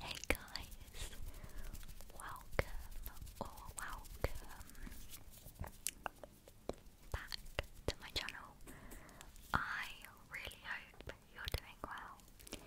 Hey guys, welcome or welcome back to my channel. I really hope you're doing well.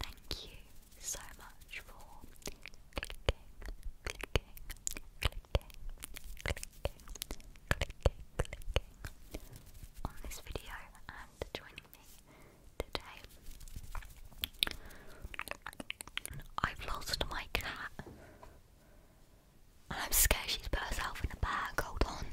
Thank you so much for clicking, clicking, clicking on this video and joining today. I've lost my cat and I'm scared she's put herself in a bag. Hold on.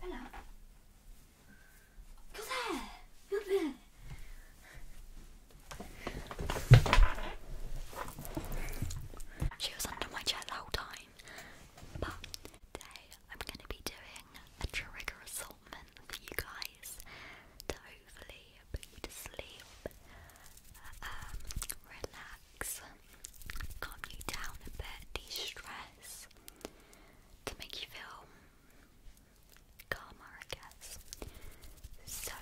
Hello you there. you there. She was under my chair the whole time. But today I'm going to be doing a trigger assortment for you guys to hopefully put you to sleep, um, relax, calm you down a bit, de stress, to make you feel karma, I guess. So,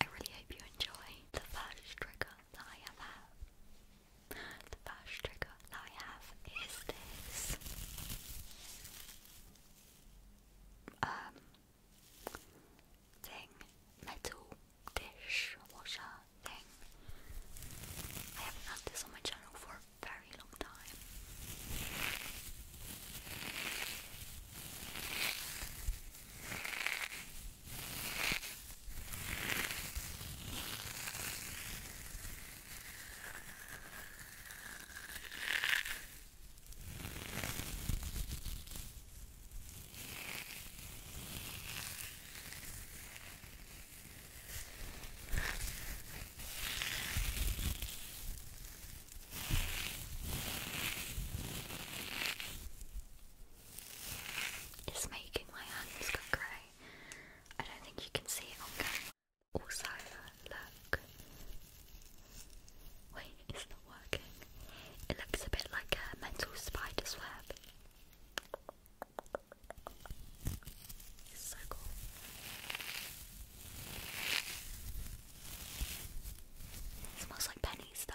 I really hope you enjoy the first trigger that I have The first trigger that I have is this. Um, thing, metal dish washer thing. I haven't had this on my channel for a very long time. It's making my hands go grey. I don't think you can see it Also, look. Wait, it's not working. It looks a bit like a mental spider's web. It's so cool. It smells like pennies, though.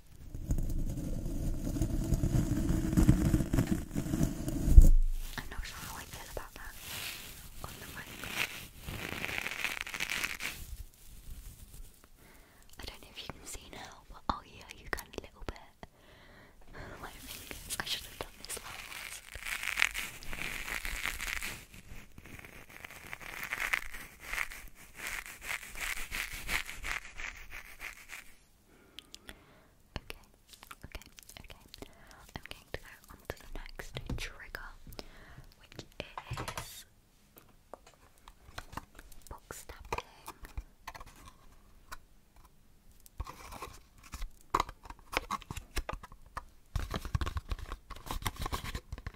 I'm not sure how I feel about that I don't know if you can see now, but oh yeah, you can a little bit. I should have done this last. Okay, okay, okay. I'm going to go on the next trigger, which is book stamping. I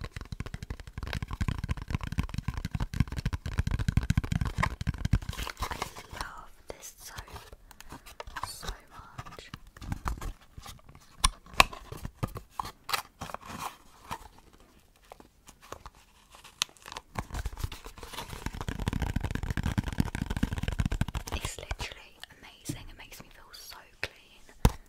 love this soap so much. It's literally amazing. It makes me feel so clean.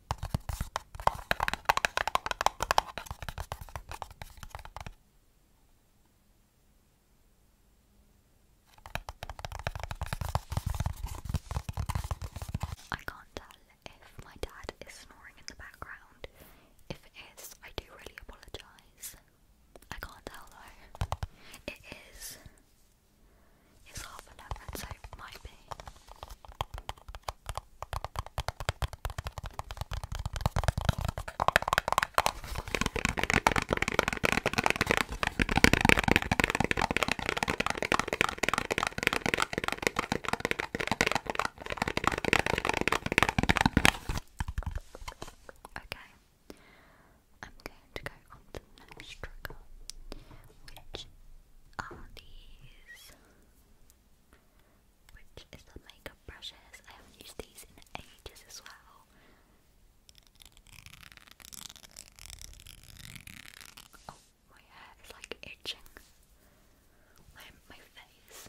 I can't tell if my dad is snoring in the background. If it is, I do really apologise. I can't tell though. It is it's half eleven, so it might be. Okay, I'm going to go the next trigger, which are these, which is the makeup brushes. I haven't used these in ages as well. Oh, my hair is like itching. My, my face.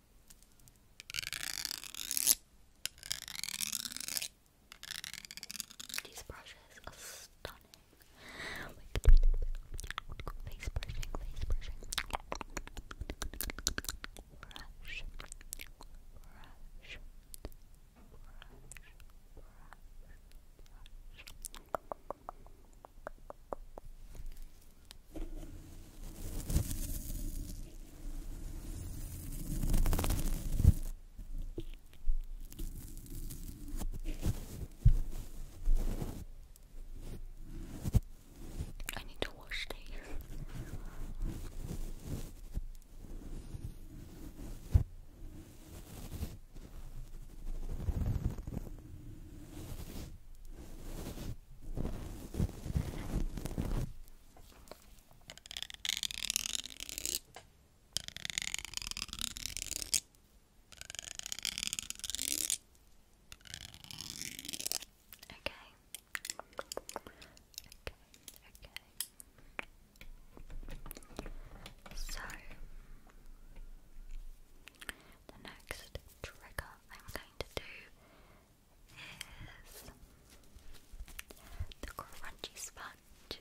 These brushes are stunning. Face brushing, face brushing. I need to wash these. Okay. Okay. Okay. So the next trigger I'm going to do is the crunchy sponge.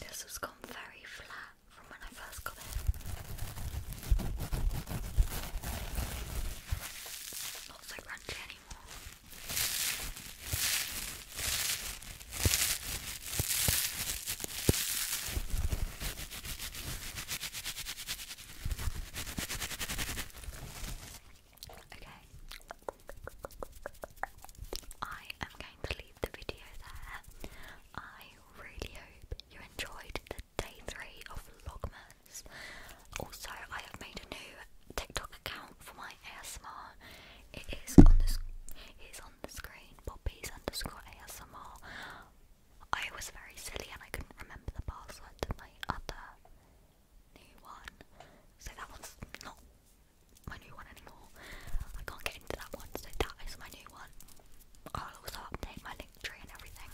This has gone very flat from when I first got it. Not so crunchy anymore. Okay. I am going to the video there. I really hope you enjoyed the day three of Vlogmas. Also, I have made a new TikTok account for my ASMR. It is on the it is on the screen. Poppy's underscore ASMR. I was very silly and I couldn't remember the password to my other new one, so that one's not my new one anymore. I can't get into that one, so that is my new one. I'll also update my link tree and everything.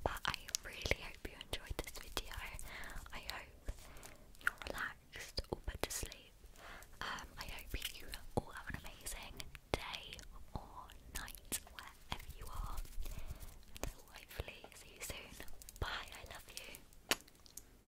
But I really hope you enjoyed this video. I hope you're relaxed or put to sleep. Um, I hope you all have an amazing day or night wherever you are. And hopefully see you soon. Bye, I love you.